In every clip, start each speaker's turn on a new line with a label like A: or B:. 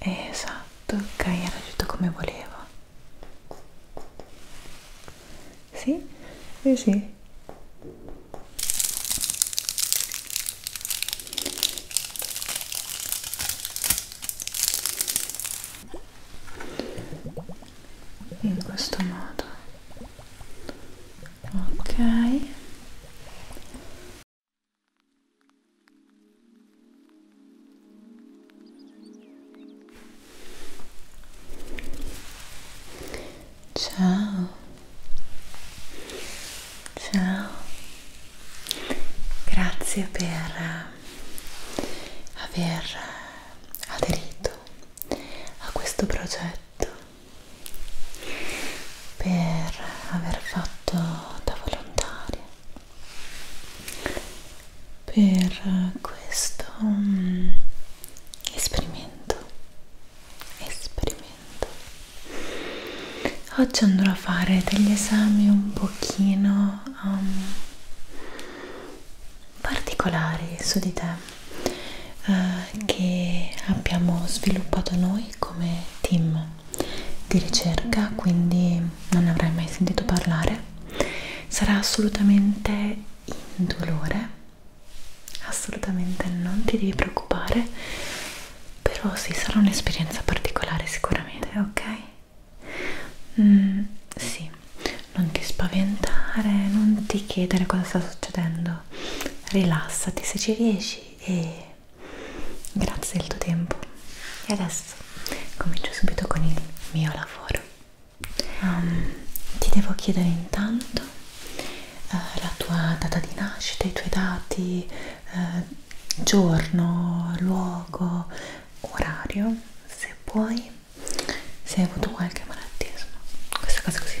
A: Esatto, ok, era tutto come volevo. Sì, sì, sì. In questo modo. Ok. Ciao, ciao, grazie per eh, aver eh, aderito a questo progetto per aver fatto da volontaria per questo um, esperimento esperimento oggi andrò a fare degli esami un pochino um, particolari su di te uh, che abbiamo sviluppato noi come team di ricerca, quindi non avrai mai sentito parlare, sarà assolutamente indolore, assolutamente non ti devi preoccupare, però sì, sarà un'esperienza particolare sicuramente, ok? Mm, sì, non ti spaventare, non ti chiedere cosa sta succedendo, rilassati se ci riesci e grazie del tuo tempo e adesso comincio subito con il mio lavoro um, ti devo chiedere intanto uh, la tua data di nascita i tuoi dati uh, giorno luogo orario se puoi se hai avuto qualche malattia insomma queste cose così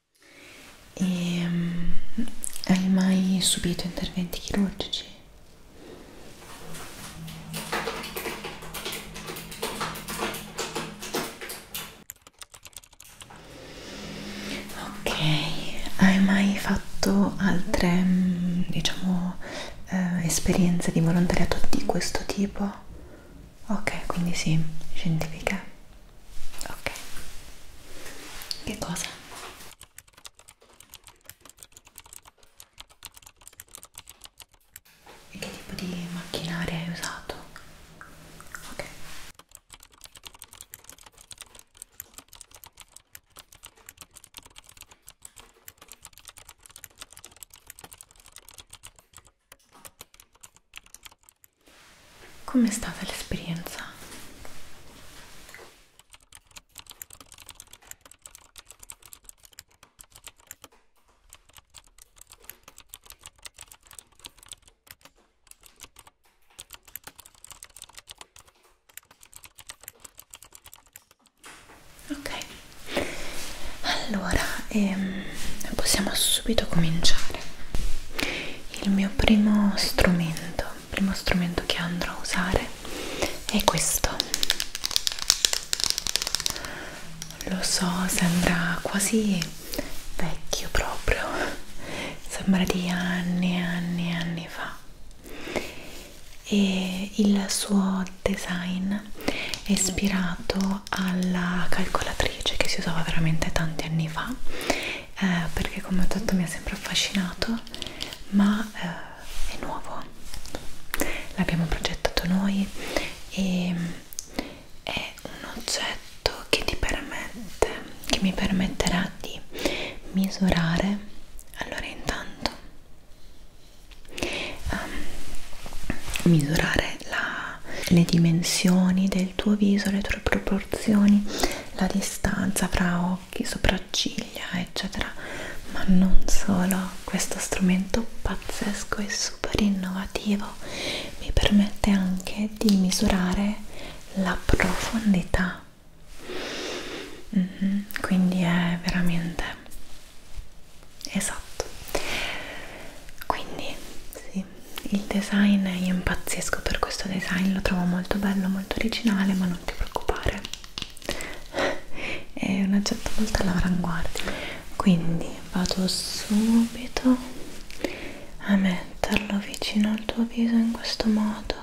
A: E, um, hai mai subito interventi chirurgici? Ok, hai mai fatto altre, mm, diciamo, eh, esperienze di volontariato di questo tipo? Ok, quindi sì, scientifica ok che cosa? e che tipo di macchinaria hai usato? ok Com'è stata l'esperienza? Ok, allora ehm, possiamo subito cominciare. Il mio primo strumento primo strumento che andrò a usare è questo lo so sembra quasi vecchio proprio sembra di anni e anni e anni fa e il suo design è ispirato alla calcolatrice che si usava veramente tanti anni fa eh, perché come ho detto mi ha sempre affascinato ma eh, è nuovo l'abbiamo progettato noi e è un oggetto che ti permette che mi permetterà di misurare allora intanto um, misurare la, le dimensioni del tuo viso le tue proporzioni la distanza fra occhi, sopracciglia, eccetera, ma non solo. Questo strumento pazzesco e super innovativo mi permette anche di misurare la profondità. Mm -hmm. Quindi è veramente esatto. Quindi sì, il design io impazzisco per questo design, lo trovo molto bello, molto originale, ma non ti preoccupare, è un oggetto molto all'avanguardia. Quindi vado subito a metterlo vicino al tuo viso in questo modo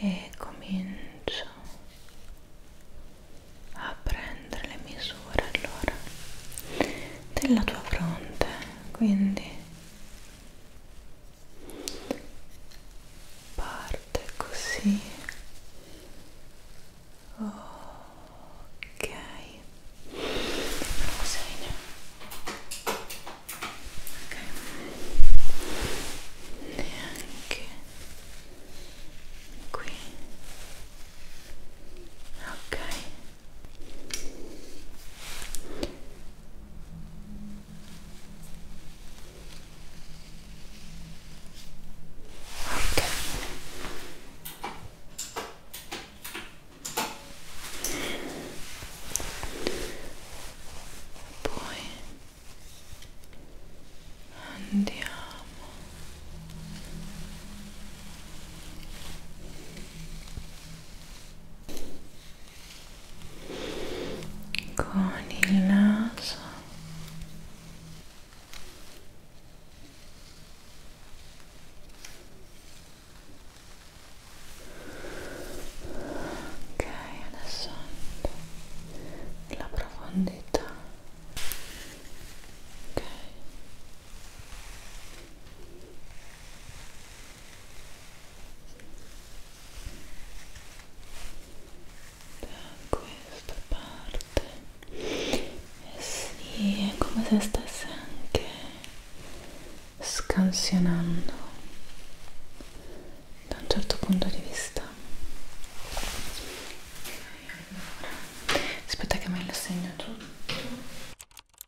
A: e comincio a prendere le misure allora della tua fronte quindi parte così ok Rosine. ok neanche qui ok poi andiamo con il naso ok adesso la profondità ok da questa parte e eh sì, è come se stesse anche scansionando da un certo punto di vista allora, aspetta che me lo segno tutto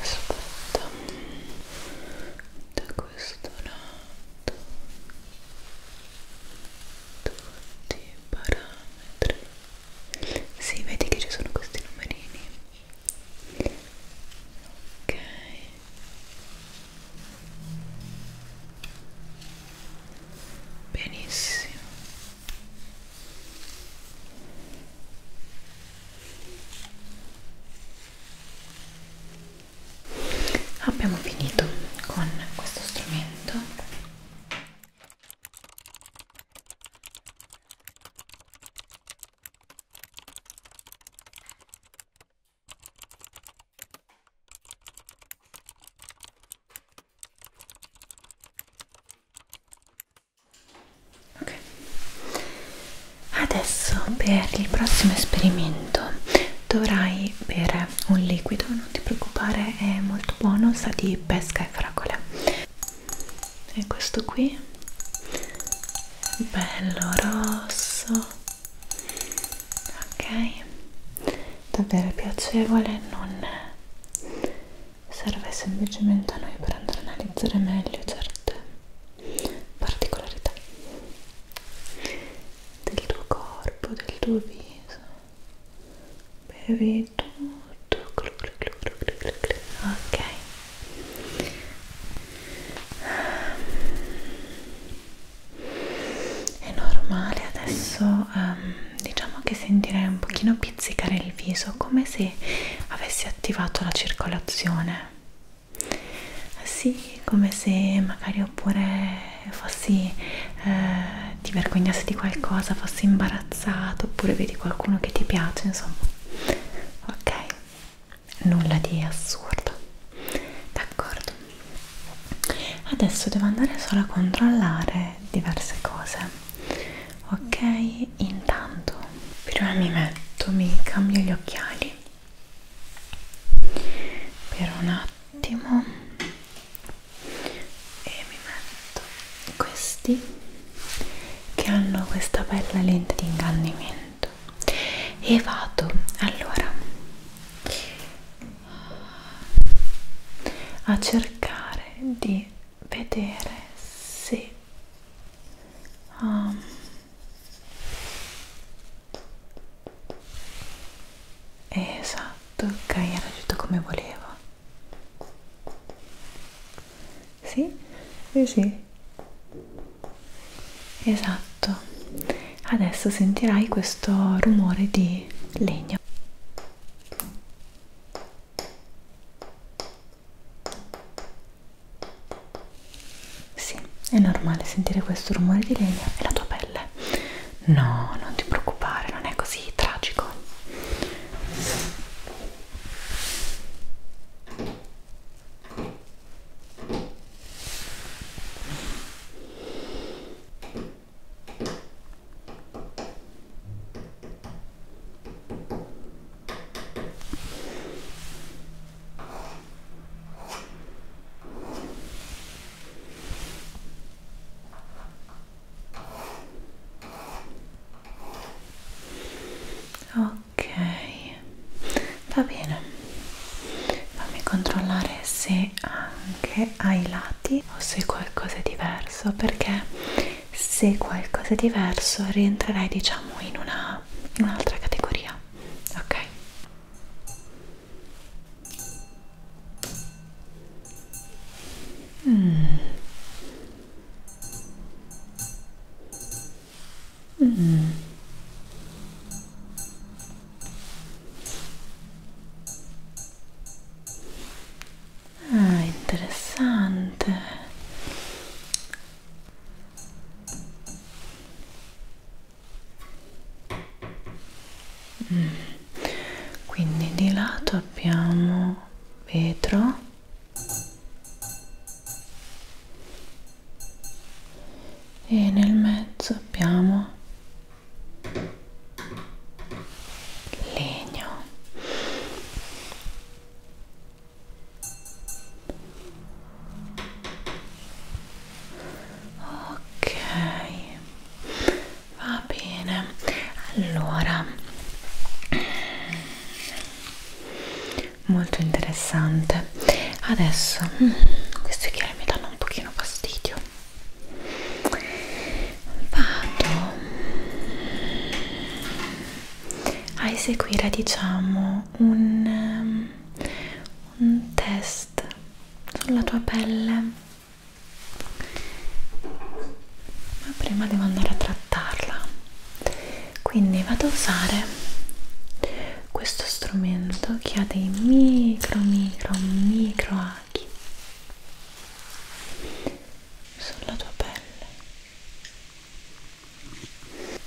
A: aspetta da questo lato tutti i parametri si sì, vedi che ci sono questi numerini ok benissimo Abbiamo finito con questo strumento ok adesso per il prossimo esperimento dovrai bere un liquido non ti preoccupare è molto buono sa di pesca e fragole e questo qui bello rosso ok davvero piacevole non serve semplicemente a noi per andare a analizzare meglio certe particolarità del tuo corpo, del tuo viso bevi tutto ok è normale adesso um, diciamo che sentirei un pochino pizzicare il viso come se avessi attivato la circolazione sì, come se magari oppure fossi, eh, ti vergognassi di qualcosa, fossi imbarazzato oppure vedi qualcuno che ti piace, insomma. Ok, nulla di assurdo. D'accordo. Adesso devo andare solo a controllare diverse cose ok intanto prima mi metto mi cambio gli occhiali per un attimo e mi metto questi che hanno questa bella lente di ingannimento e vado allora a cercare di vedere se um, esatto ok era tutto come volevo sì sì sì esatto adesso sentirai questo rumore di legno sì, è normale sentire questo rumore di legna e la tua pelle. No, non ti preoccupare, non è così tragico. Ok, va bene. Fammi controllare se anche ai lati o se qualcosa è diverso perché se qualcosa è diverso rientrerai diciamo in una un'altra categoria ok mm. Mm. Ah, interessante Mm. Quindi di lato abbiamo vetro e nel mezzo abbiamo legno ok va bene allora molto interessante adesso mm, questi occhiali mi danno un pochino fastidio vado a eseguire diciamo un, um, un test sulla tua pelle ma prima devo andare a trattarla quindi vado a usare questo strumento che ha dei micro micro micro aghi sulla tua pelle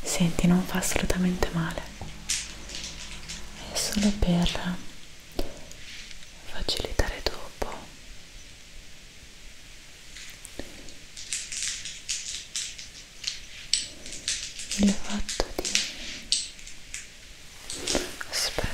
A: Senti, non fa assolutamente male, è solo per facilitare dopo. Il fatto di aspetta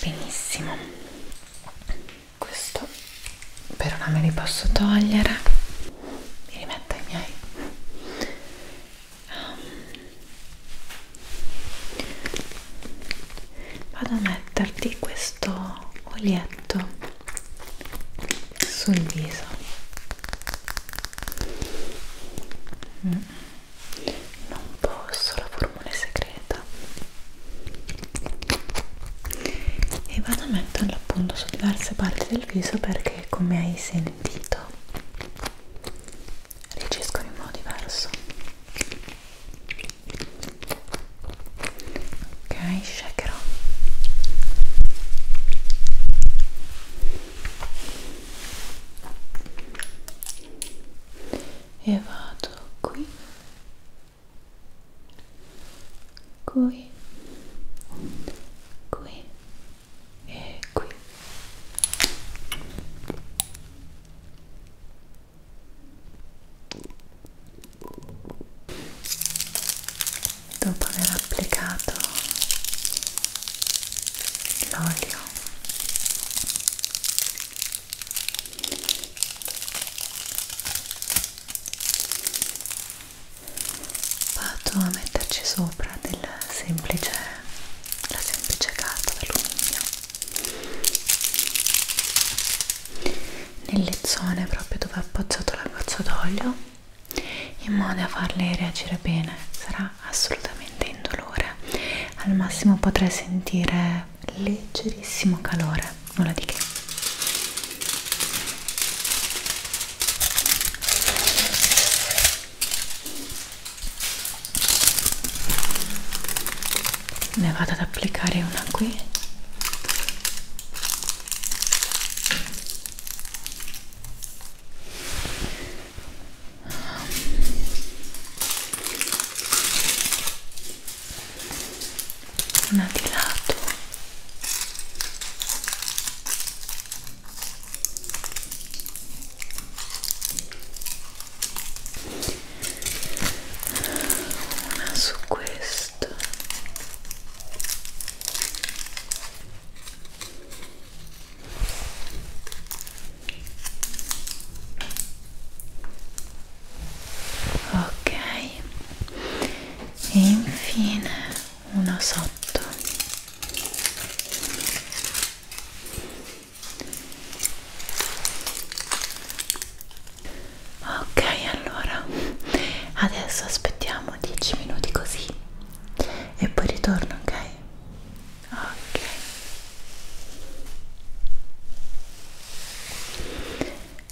A: benissimo questo però non me li posso togliere mi rimetto ai miei ehm, vado a metterti questo olietto sul viso mm non posso, la formula è segreta e vado a metterla appunto su diverse parti del viso perché come hai sentito reagiscono in modo diverso ok, shakerò e vado qui qui qui e qui dopo aver applicato l'olio vado a metterci sopra del semplice la semplice carta d'alluminio nelle zone proprio dove ho appoggiato la goccia d'olio in modo da farle reagire bene sarà sarà assolutamente indolore al massimo potrai sentire leggerissimo calore nulla di che ne vado ad applicare una qui una di lato una su questo ok e infine una sotto ok allora adesso aspettiamo 10 minuti così e poi ritorno ok ok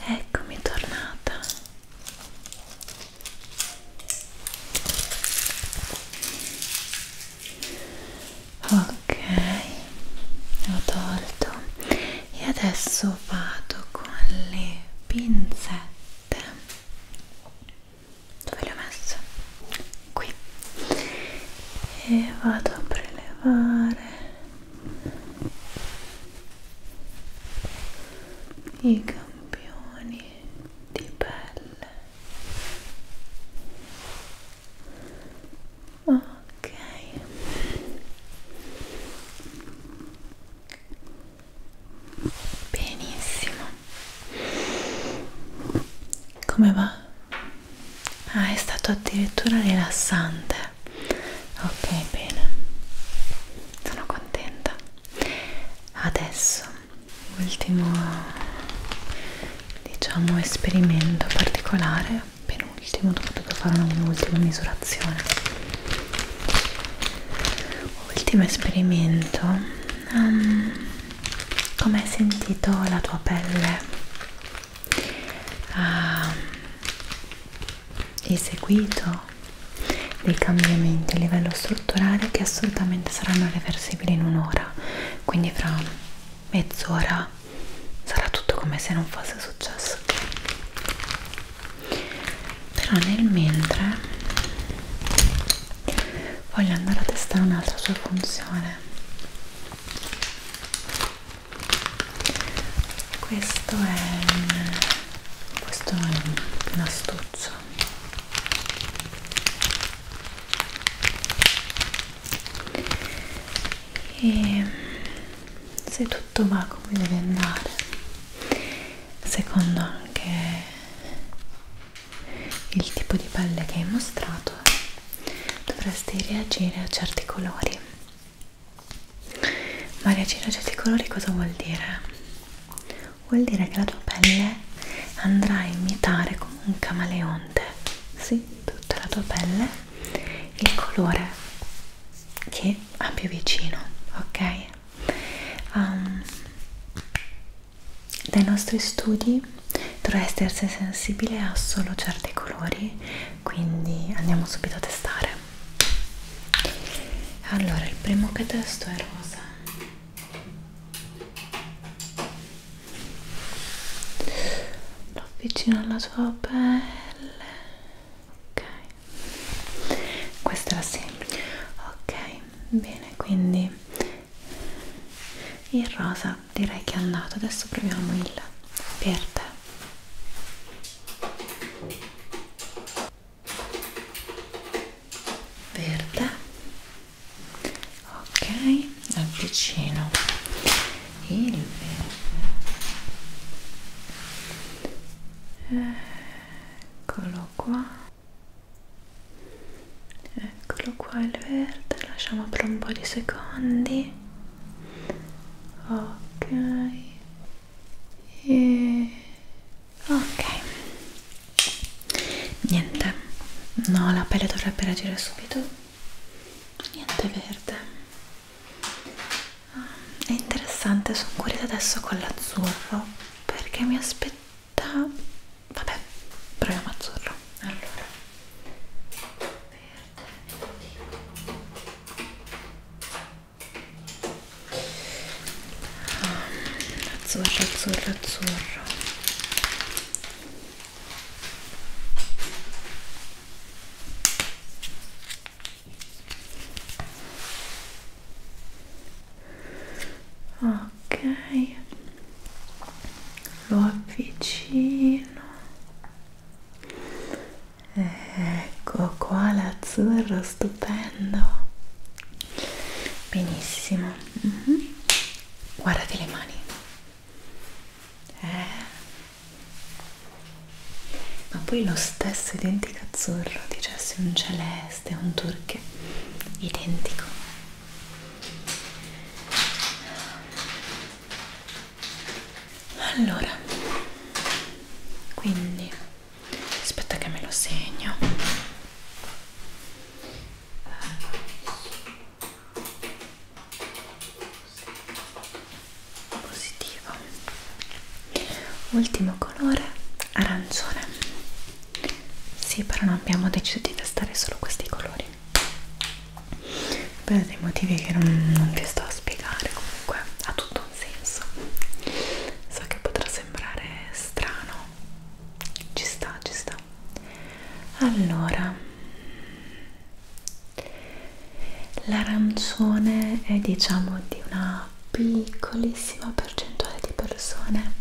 A: eccomi tornata ok ho tolto e adesso vado con le pinzette dove le ho messe? qui e vado a prelevare i campioni di pelle ok benissimo come va? ah è stato addirittura rilassante ok bene sono contenta adesso ultimo diciamo esperimento particolare penultimo dopo dovuto fare un'ultima misurazione ultimo esperimento um, come hai sentito la tua pelle ah, ha eseguito dei cambiamenti a livello strutturale che assolutamente saranno reversibili in un'ora quindi fra mezz'ora sarà tutto come se non fosse successo però nel mentre voglio andare a testare un'altra sua funzione questo è un, questo è un, un astuccio e se tutto va come deve andare secondo anche il tipo di pelle che hai mostrato dovresti reagire a certi colori ma reagire a certi colori cosa vuol dire? vuol dire che la tua pelle andrà a imitare come un camaleonte sì, tutta la tua pelle il colore che ha più vicino ok? Um, dai nostri studi dovresti essere sensibile a solo certi colori, quindi andiamo subito a testare. Allora, il primo che testo è rosa. Lo avvicino alla tua pelle. Ok. Questa era semplice. Ok, bene, quindi il rosa direi che è andato adesso proviamo il verde verde ok avvicino il verde eccolo qua eccolo qua il verde lasciamo per un po' di secondi ok e... ok niente no la pelle dovrebbe reagire subito niente verde ah, è interessante sono curiosa adesso con l'azzurro perché mi aspettavo da vabbè proviamo azzurro allora verde azzurro azzurro azzurro ok lo avvicino ecco qua l'azzurro stupendo benissimo mm -hmm. guardate le mani eh. ma poi lo stesso identico azzurro dicessi un celeste un turche identico allora quindi aspetta che me lo segno positivo ultimo colore arancione sì, però non abbiamo deciso di testare solo questi colori per dei motivi che non, non vi sto a spiegare, comunque ha tutto un senso. So che potrà sembrare strano, ci sta, ci sta. Allora, l'arancione è diciamo di una piccolissima percentuale di persone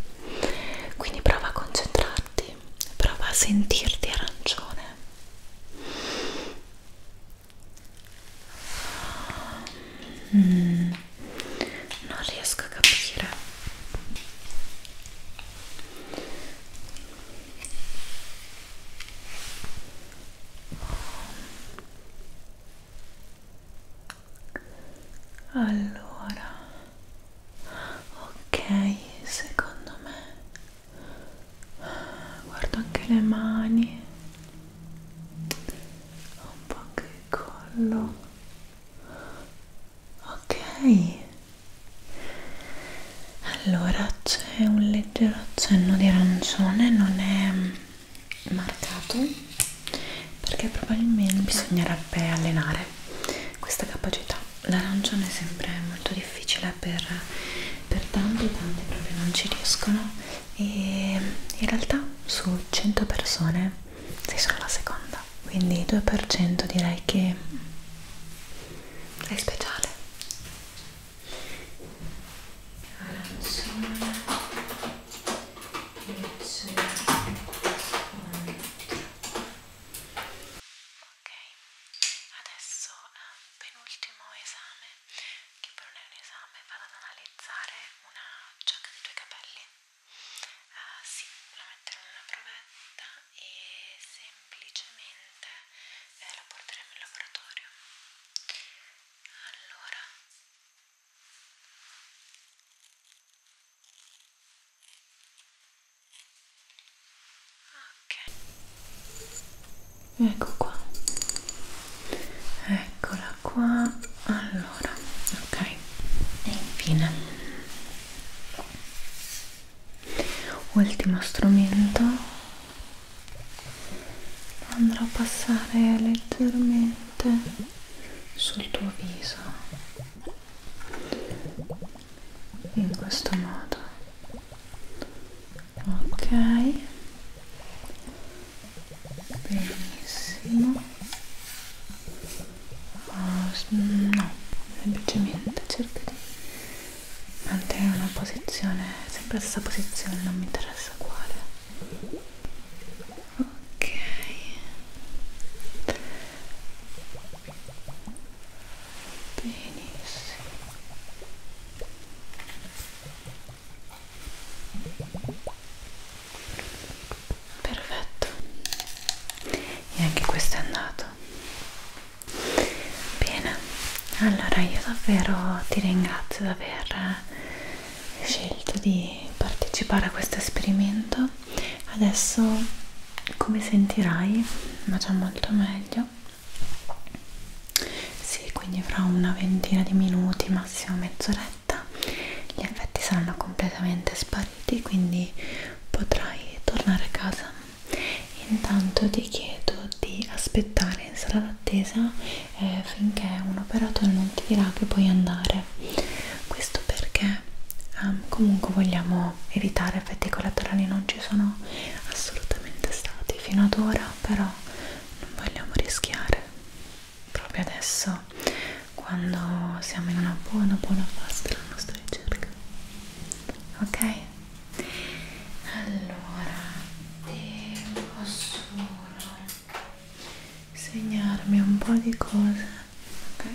A: quindi prova a concentrarti sì, prova a sentirti arancione. Mm, non riesco a capire. Allora ok secondo me guardo anche le mani un po' anche il collo ok allora c'è un leggero accenno di arancione non è mm, marcato perché probabilmente bisognerebbe allenare questa capacità l'arancione sempre è molto difficile per, per tanti tanti proprio non ci riescono e in realtà su 100 persone sei solo la seconda quindi 2% direi che sei speciale arancione e c'è Ok, adesso eh, penultimo esame, che poi non è un esame, vado ad analizzare una giacca dei tuoi capelli. Uh, sì, la metterò nella provetta e semplicemente eh, la porteremo in laboratorio. Allora Ok. Ecco qua. Eccola qua. Allora, ok. E infine. Ultimo strumento. Andrò a passare leggermente sul tuo viso in questo modo ok benissimo oh, no semplicemente cerca di mantenere una posizione sempre la stessa posizione non mi interessa quale ok benissimo perfetto e anche questo è andato bene allora io davvero ti ringrazio di aver scelto di partecipare a questo esperimento adesso come sentirai ma già molto meglio sì quindi fra una ventina di minuti massimo mezz'oretta gli effetti saranno completamente spariti quindi potrai tornare a casa intanto ti chiedo di aspettare in sala d'attesa eh, finché un operatore non ti dirà che puoi andare colore questo perché um, comunque vogliamo evitare effetti collaterali non ci sono assolutamente stati fino ad ora però non vogliamo rischiare proprio adesso quando siamo in una buona buona fase della nostra ricerca ok allora devo solo segnarmi un po' di cose ok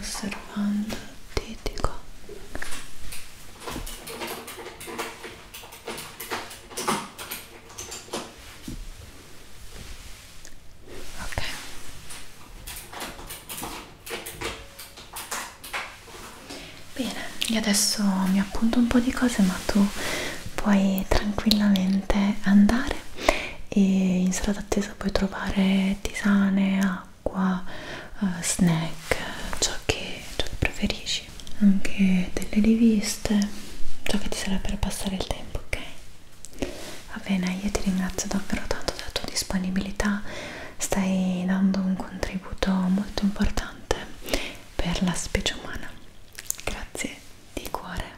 A: osservando il titico ok Bene, io adesso mi appunto un po' di cose, ma tu puoi tranquillamente andare e in sala d'attesa puoi trovare tisane, acqua, uh, snack, ciò che, ciò che preferisci, anche delle riviste, ciò che ti serve per passare il tempo, ok? Va bene, io ti ringrazio davvero tanto della tua disponibilità, stai dando un contributo molto importante per la specie umana grazie di cuore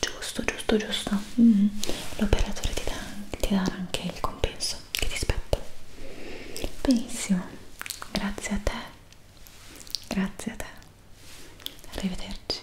A: giusto giusto giusto mm -hmm. l'operatore ti, ti darà anche il compenso che ti spetta benissimo grazie a te grazie a te arrivederci